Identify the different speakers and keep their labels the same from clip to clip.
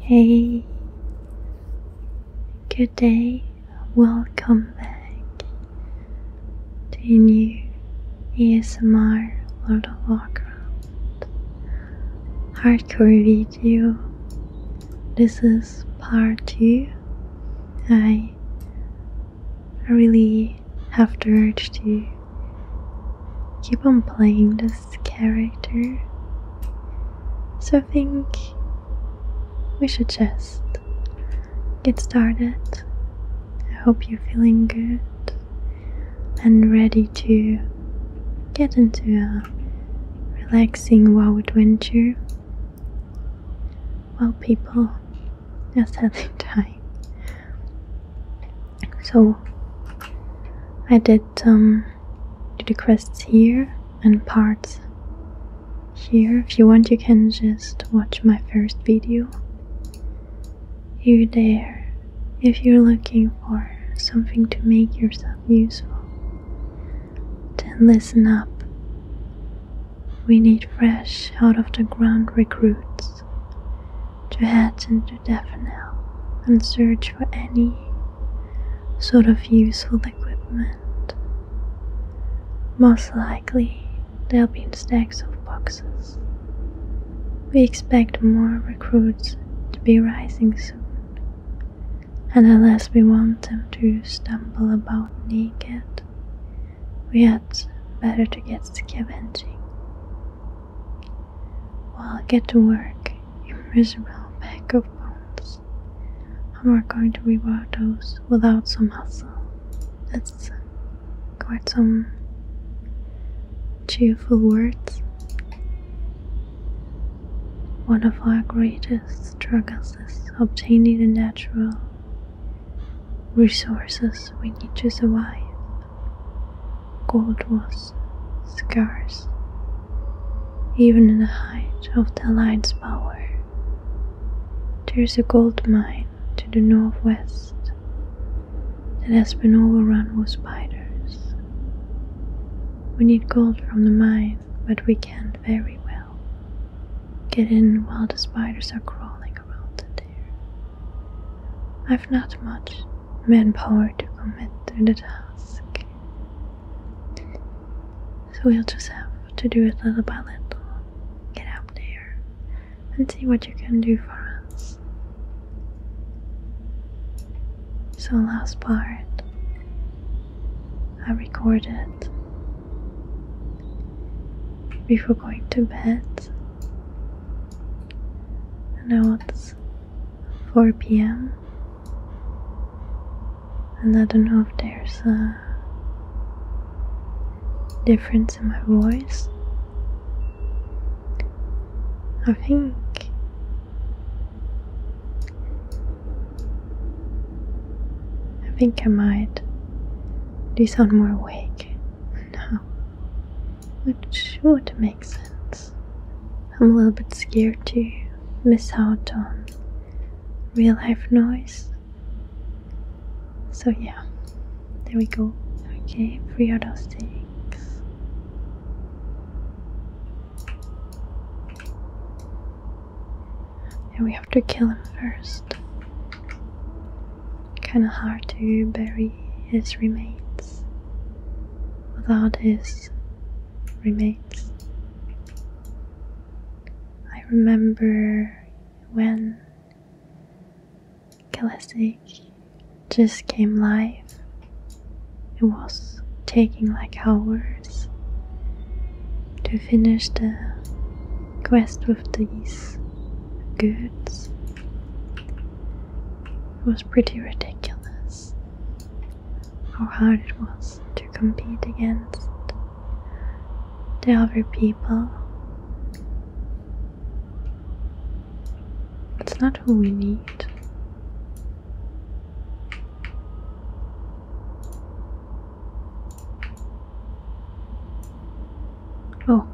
Speaker 1: Hey, good day, welcome back to a new ASMR Lord of Warcraft hardcore video. This is part 2. I really have to urge you keep on playing this character. So I think we should just get started. I hope you're feeling good and ready to get into a relaxing wild adventure. Well, people, just having time so I did do um, the quests here and parts here. If you want, you can just watch my first video here, there, if you're looking for something to make yourself useful. Then listen up. We need fresh out of the ground recruits past, to head into Davenel and search for any sort of useful equipment. Most likely, there'll be stacks of boxes. We expect more recruits to be rising soon, and unless we want them to stumble about naked, we had better to get scavenging. Well, get to work. Immeasurable pack of bones. How am I going to reward those without some hustle? That's uh, quite some cheerful words. One of our greatest struggles is obtaining the natural resources we need to survive. Gold was scarce, even in the height of the light's power. There is a gold mine to the northwest that has been overrun with spiders. We need gold from the mine, but we can't very well get in while the spiders are crawling around in there. I've not much manpower to commit to the task. So we'll just have to do a little by Get out there and see what you can do for us. So, last part I recorded before going to bed. And I was 4 p.m. And I don't know if there's a difference in my voice. I think I think I might do sound more awake now, which would makes sense. I'm a little bit scared to miss out on real life noise. So, yeah, there we go. Okay, free of those things. And we have to kill him first. Kinda hard to bury his remains without his remains. I remember when Kalesic just came live. It was taking like hours to finish the quest with these goods. was pretty ridiculous how hard it was to compete against the other people. It's not who we need. Oh,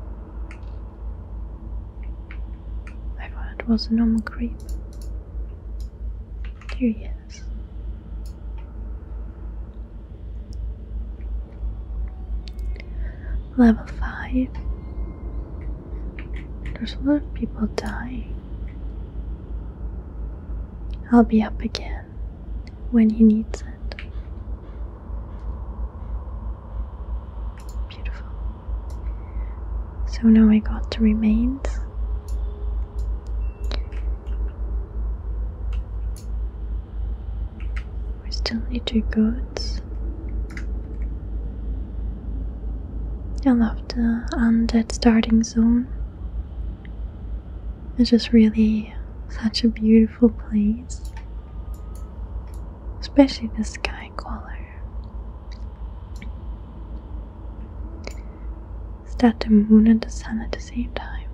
Speaker 1: I thought it was a normal creep. Here he is. Level 5. There's a lot of people dying. I'll be up again when he needs it. Beautiful. So now I got the remains. We still need two goods. And after the undead starting zone. It's just really such a beautiful place. Especially the sky color. Is that the moon and the sun at the same time?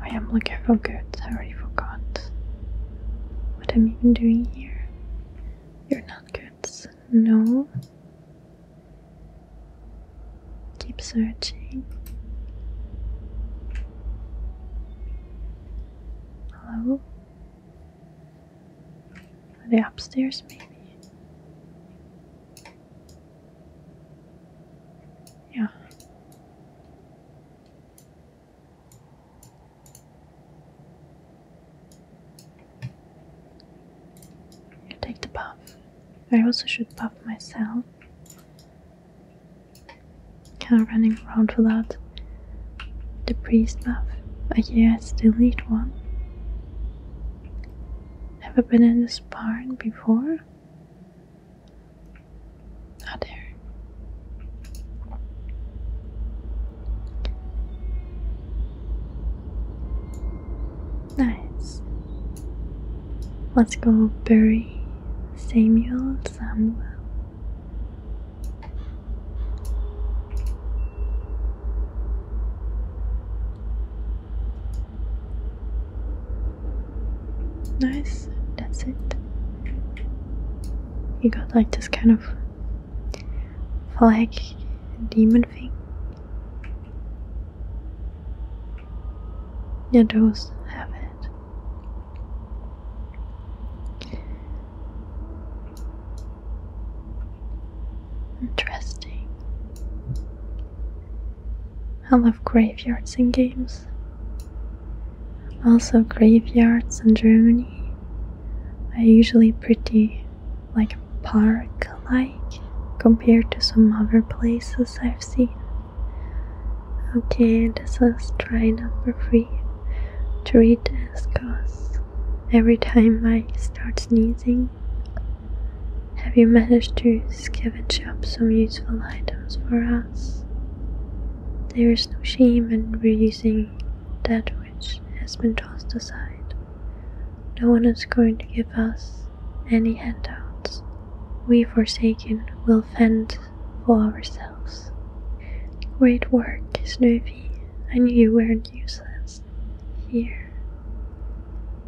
Speaker 1: I am looking for goods, I already forgot what I'm even doing here. You're not goods, no. Keep searching. Hello? Are they upstairs, maybe? Yeah. You take the puff. I also should puff myself. Kind of running around without the priest buff. But yes, it's the elite one. Never been in this barn before? Not there. Nice. Let's go bury Samuel Samuel. Nice, that's it. You got like this kind of flag demon thing. Yeah, those have it. Interesting. I love graveyards in games. Also, graveyards in Germany are usually pretty like park like compared to some other places I've seen. Okay, this is try number three to read as cause. Every time I start sneezing, have you managed to scavenge up some useful items for us? There is no shame in reusing that which has been tossed aside. No one is going to give us any handouts. We, forsaken, will fend for ourselves. Great work, Snoopy. I knew you weren't useless. Here.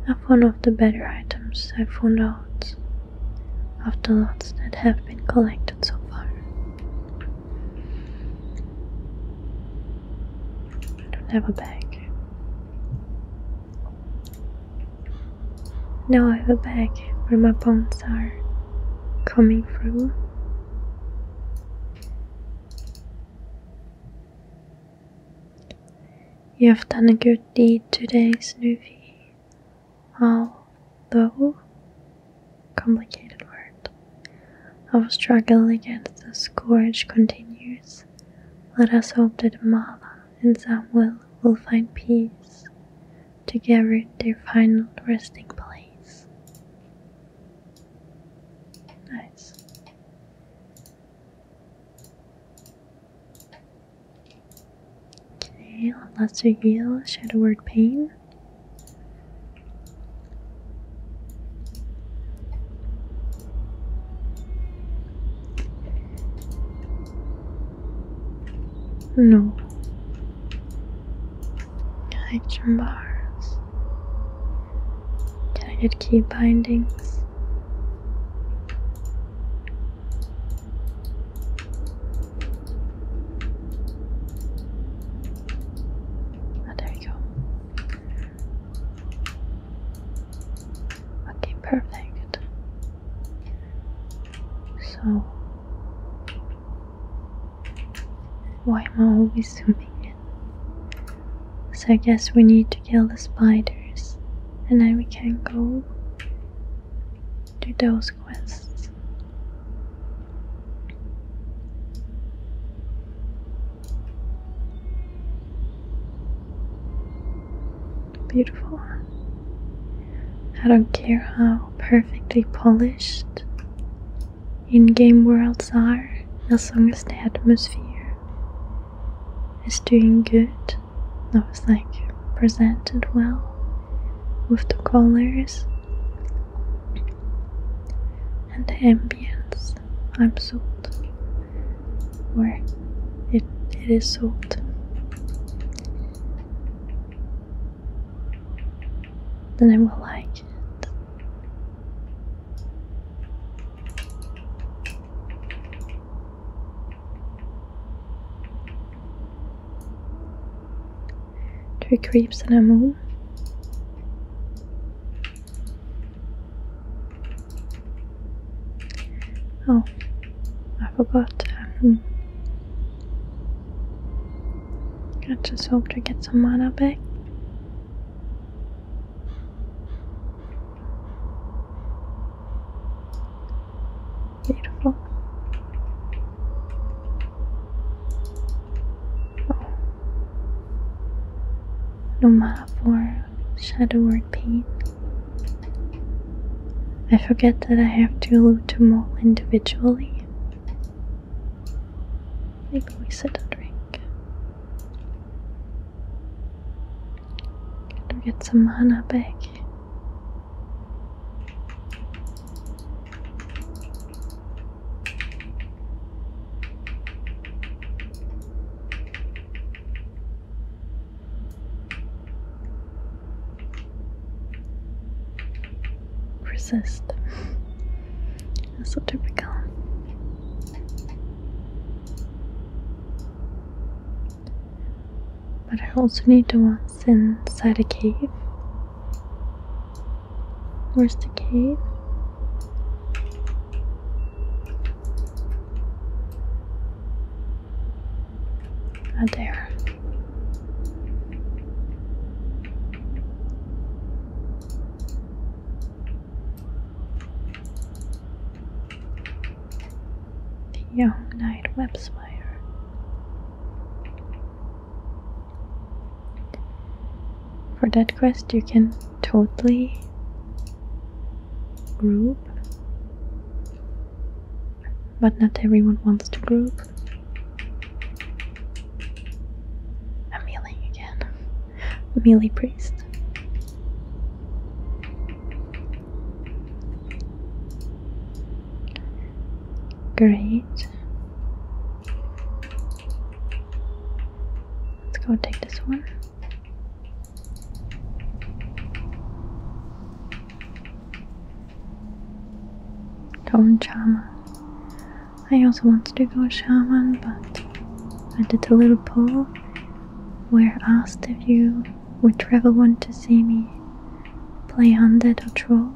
Speaker 1: Of one of the better items I have found out of the lots that have been collected so far. I don't have a bag. Now I have a bag where my bones are coming through. You have done a good deed today, Snoopy. Although, complicated word. Our struggle against the scourge continues. Let us hope that Mala and Samuel will find peace to give it their final resting place. Nice. Okay, let reveal Shadow Pain. No. Connection bars. Can I get key bindings? Oh, there we go. Okay, perfect. So why am I always zooming in? So I guess we need to kill the spiders and then we can go do those quests. Beautiful. I don't care how perfectly polished in game worlds are, as long as the atmosphere is doing good. That was like presented well with the colors and the ambience. I'm sold. Or it, it is sold then I will like it. Three creeps and a moon. Oh, I forgot. I just hope to get some mana back. Beautiful. Oh. No mana for Shadow Word I forget that I have to loot them all individually. Maybe we should drink. got get some mana back. Resist. That's so typical. But I also need to ones inside a cave. Where's the cave? Not there young knight webspire. For that quest, you can totally group, but not everyone wants to group. I'm healing again. Mealy priest. Great. Let's go take this one do Torn Shaman. I also wanted to go Shaman, but I did a little poll where I asked if you would rather want to see me play Undead or Troll,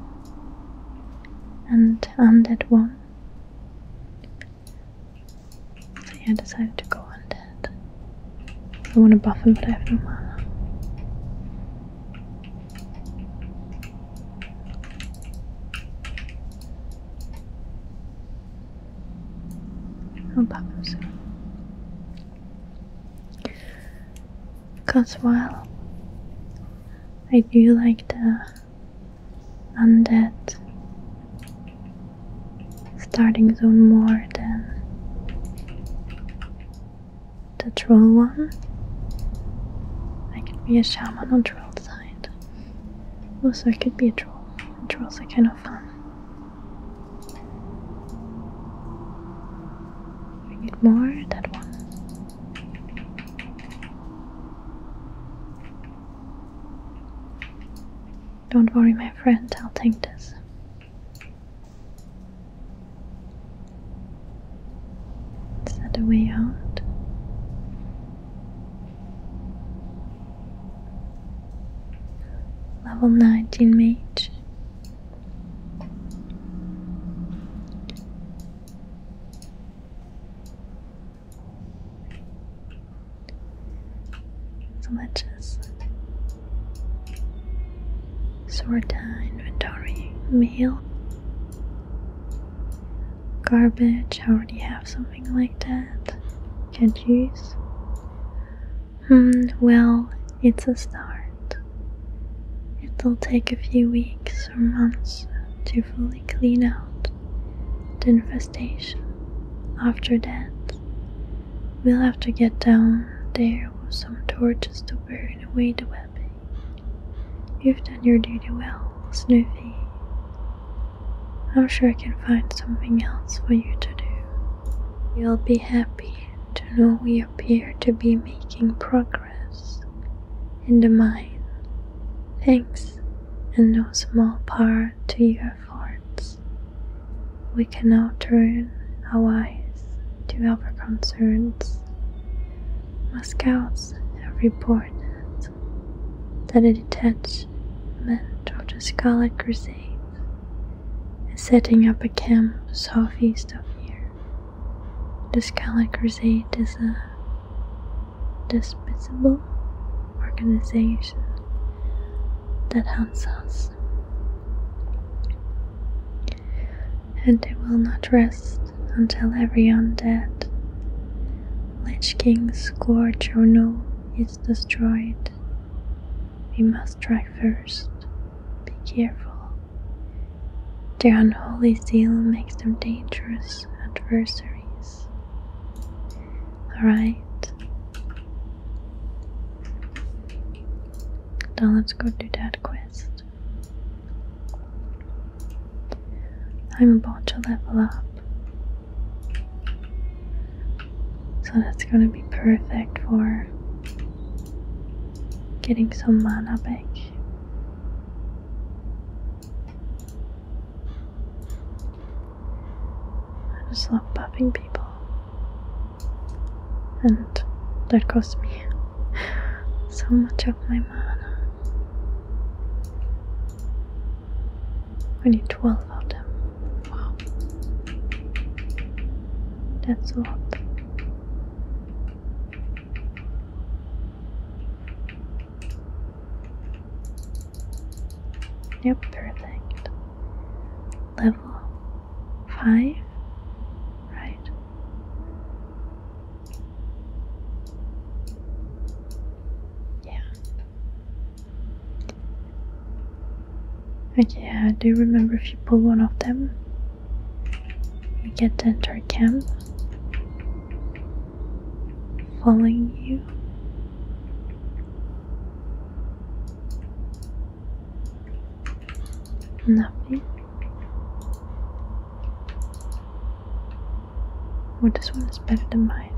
Speaker 1: and Undead won. So I decided to go Undead. I want to buff him, but I have mana. I'll pop them soon. Because while I do like the undead starting zone more than the troll one, I can be a shaman on also, it could be a troll. Trolls are kind of fun. We need more that one. Don't worry, my friend, I'll take this. Is that a way out? Level 19 mage. So let inventory meal Garbage, I already have something like that. Can't use. Hmm, well, it's a start. It'll take a few weeks or months to fully clean out the infestation. After that, we'll have to get down there with some torches to burn away the web. You've done your duty well, Snoopy. I'm sure I can find something else for you to do. You'll be happy to know we appear to be making progress in the mine. Thanks, and no small part to your efforts. We can now turn our eyes to other concerns. My scouts have reported that a detachment of the Scarlet Crusade is setting up a camp southeast of here. The Scarlet Crusade is a despicable organization that hunts us, and it will not rest until every undead Lich King's scourge or no is destroyed. We must try first. Be careful. Their unholy zeal makes them dangerous adversaries. Alright. Now let's go to that quest. I'm about to level up. So that's going to be perfect for getting some mana back. I just love buffing people. And that cost me so much of my mana. We need 12 of them. Wow. That's a lot. Yep, perfect. Level 5, right? Yeah. Okay, I do remember if you pull one of them, you get to enter camp following you. Nothing. Well, this one is better than mine.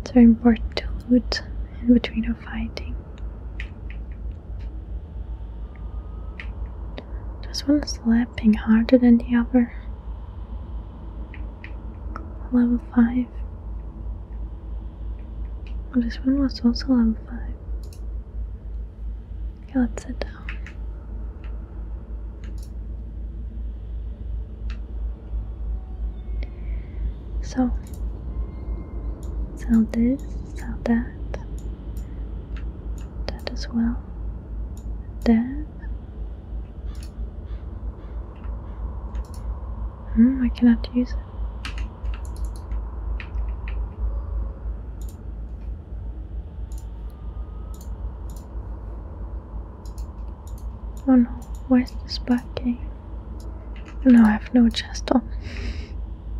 Speaker 1: It's very important to loot in between a fighting. Does one slapping harder than the other? Level 5. Oh, this one was also level 5. Okay, let's sit down. So, sell this, sell that, that as well. Damn. Hmm, I cannot use it. Oh no, why is this backing? No, I have no chest on.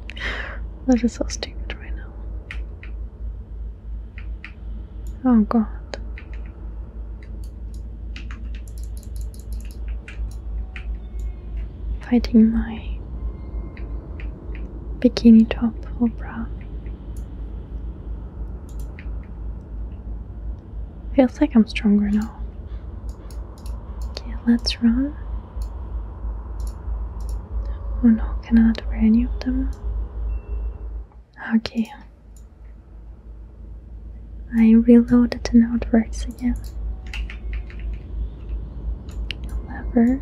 Speaker 1: that is so stupid right now. Oh god. Fighting my bikini top or bra. Feels like I'm stronger now. Okay, let's run. Oh no, Cannot wear any of them? Okay. I reloaded the notebooks again. However,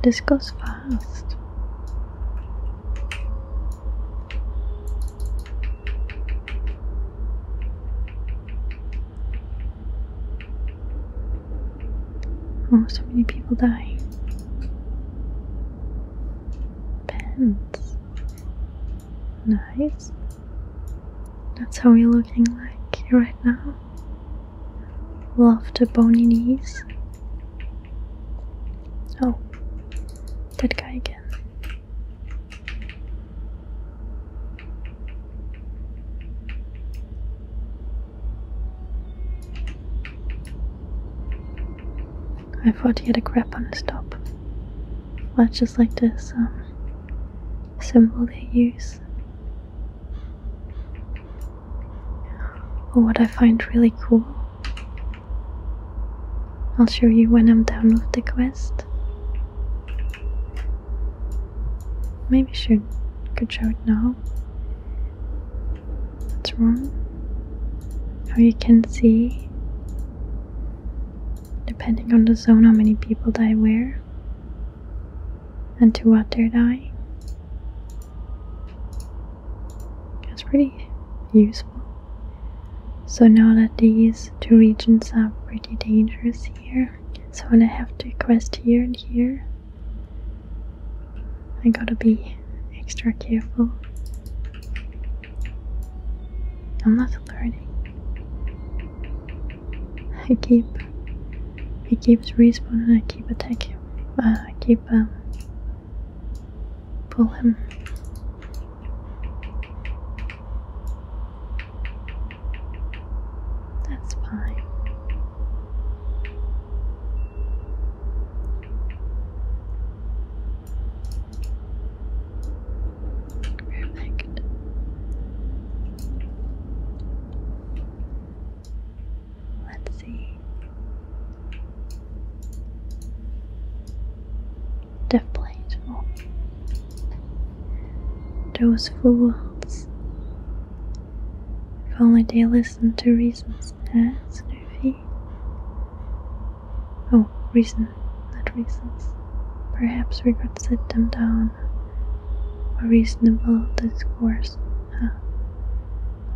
Speaker 1: This goes fast. Oh, so many people die. Pens. Nice. That's how we are looking like right now. Love the bony knees. Oh, that guy again. I thought he had a grip on his top. Much just like this um, symbol they use. Or what I find really cool. I'll show you when I'm done with the quest. Maybe should could show it now. What's wrong? How you can see depending on the zone how many people die where and to what they die. That's pretty useful. So now that these two regions are pretty dangerous here, so when I have to quest here and here, I gotta be extra careful. I'm not learning. I keep. He keeps responding. I keep attacking. Uh, I keep um, pull him. That's fine. Perfect. Let's see. Deflatable. Oh. Those fools. If only they listened to reason's ass, Nervy. Oh, reason, not reasons. Perhaps we could sit them down. A reasonable discourse. Huh?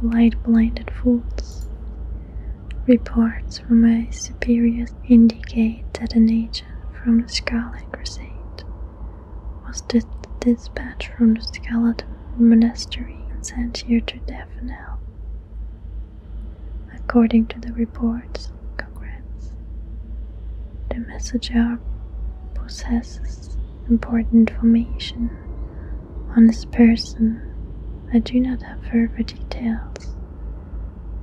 Speaker 1: Light blinded fools. Reports from my superiors indicate detonation from the Scarlet Crusade was the dispatch from the Scarlet Monastery sent here to Davenel. According to the reports, congrats, the messenger possesses important information on his person. I do not have further details,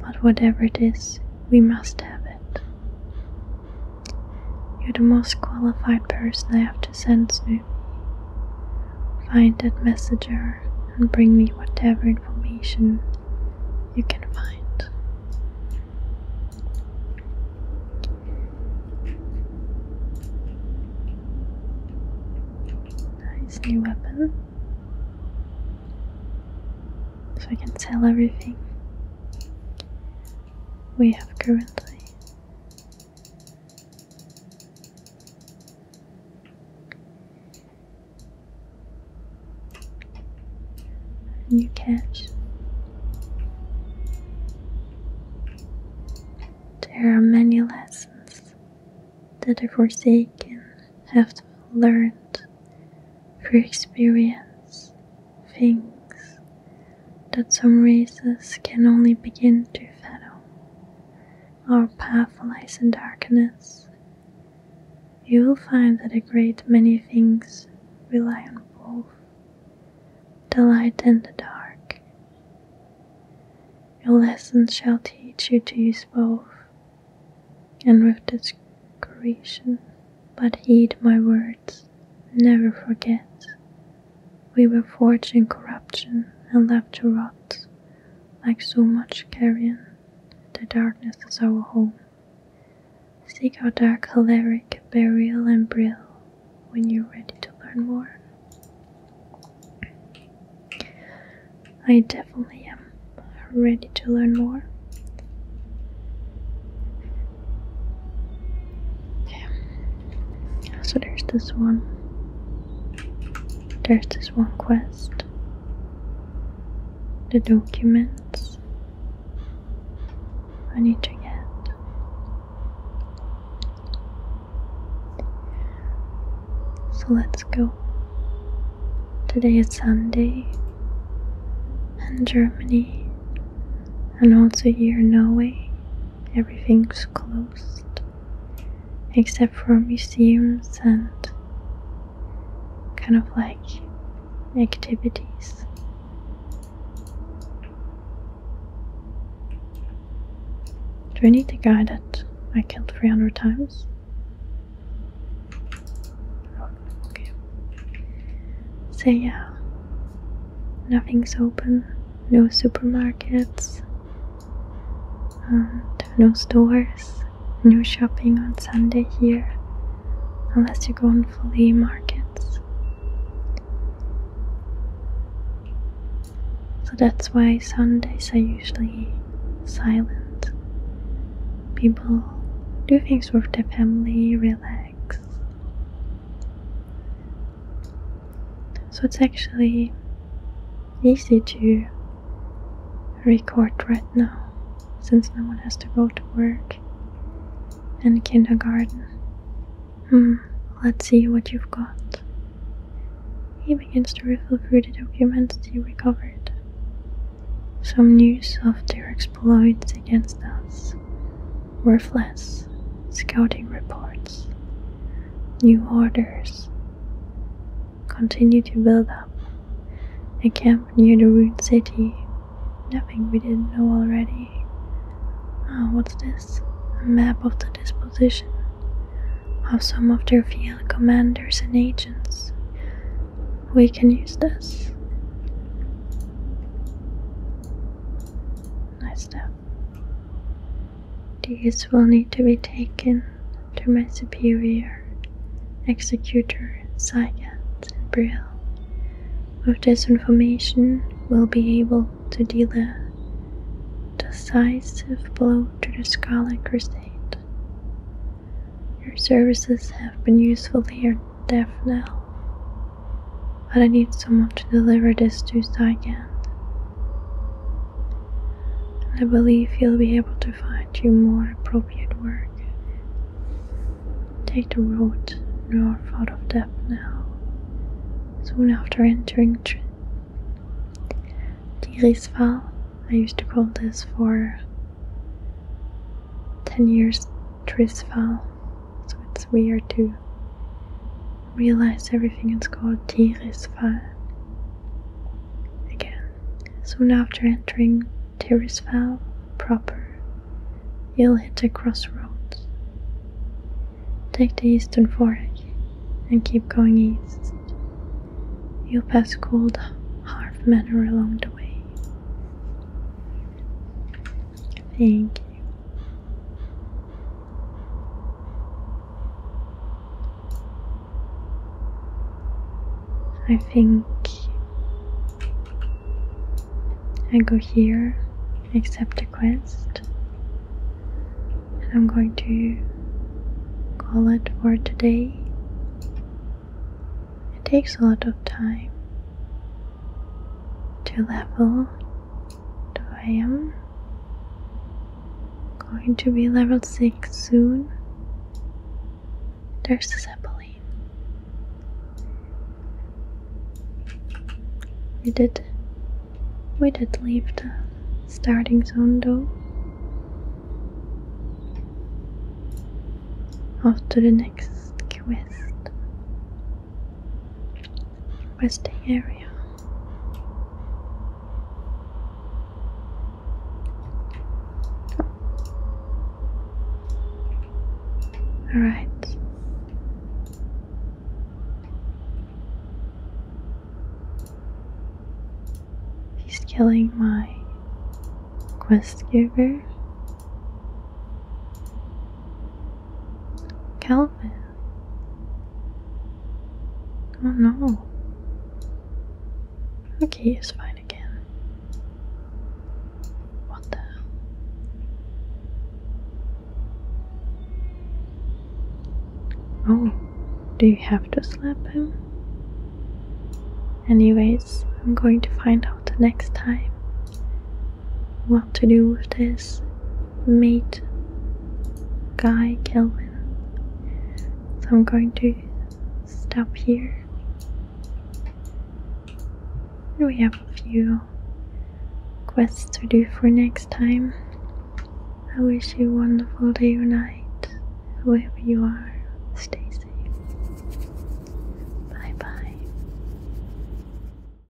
Speaker 1: but whatever it is, we must have it. You're the most qualified person I have to send, Snoop. Find that messenger and bring me whatever information you can find. Nice new weapon. So I can sell everything we have currently. A new catch. There are many lessons that the Forsaken have learned through experience things that some races can only begin to fathom. or path in darkness. You will find that a great many things rely on both the light and the dark. Your lessons shall teach you to use both, and with discretion, but heed my word never forget. We were forged in corruption and left to rot like so much carrion. The darkness is our home. Seek our dark choleric burial and bril. when you're ready to learn more. I definitely am ready to learn more. Okay. So there's this one. There's this one quest. The documents I need to get. So let's go. Today is Sunday, In Germany and also here Norway, everything's closed except for museums and kind of like activities. Do I need the guy that I killed 300 times? Oh, okay. yeah, Nothing's open, no supermarkets, um, no stores, no shopping on Sunday here, unless you go on flea markets. So that's why Sundays are usually silent. People do things with their family, relax. So it's actually easy to record right now since no one has to go to work and kindergarten. Hmm, let's see what you've got. He begins to rifle through the documents he recovered. Some news of their exploits against us, worthless scouting reports, new orders, continue to build up a camp near the ruined city. Nothing we didn't know already. Oh, what's this? A map of the disposition of some of their field commanders and agents. We can use this. Nice stuff. These will need to be taken to my superior, Executor Sagat and Brill. With this information, we'll be able to deal a decisive blow to the Scarlet Crusade. Your services have been useful here there for now. But I need someone to deliver this to again. I believe he'll be able to find you more appropriate work. Take the road north out of depth now. Soon after entering Tirisval, I used to call this for 10 years Trisval. So it's weird to realize everything is called Tirisfall again. Soon after entering Tirisfal proper, you'll hit a crossroads. Take the eastern fork and keep going east. You'll pass cold Harf Manor along the way. Thank you. I think I go here, accept the quest, and I'm going to call it for today. It takes a lot of time to level I am going to be level 6 soon. There's the Zeppelin. We did we did leave the starting zone though. Off to the next quest resting area. All right. He's killing my quest giver, Calvin. Oh no. Okay, he's fine again. What the? Oh, do you have to slap him? Anyways, I'm going to find out the next time what to do with this mate guy Kelvin. So I'm going to stop here. We have a few quests to do for next time. I wish you a wonderful day or night, wherever you are. Stay safe. Bye bye.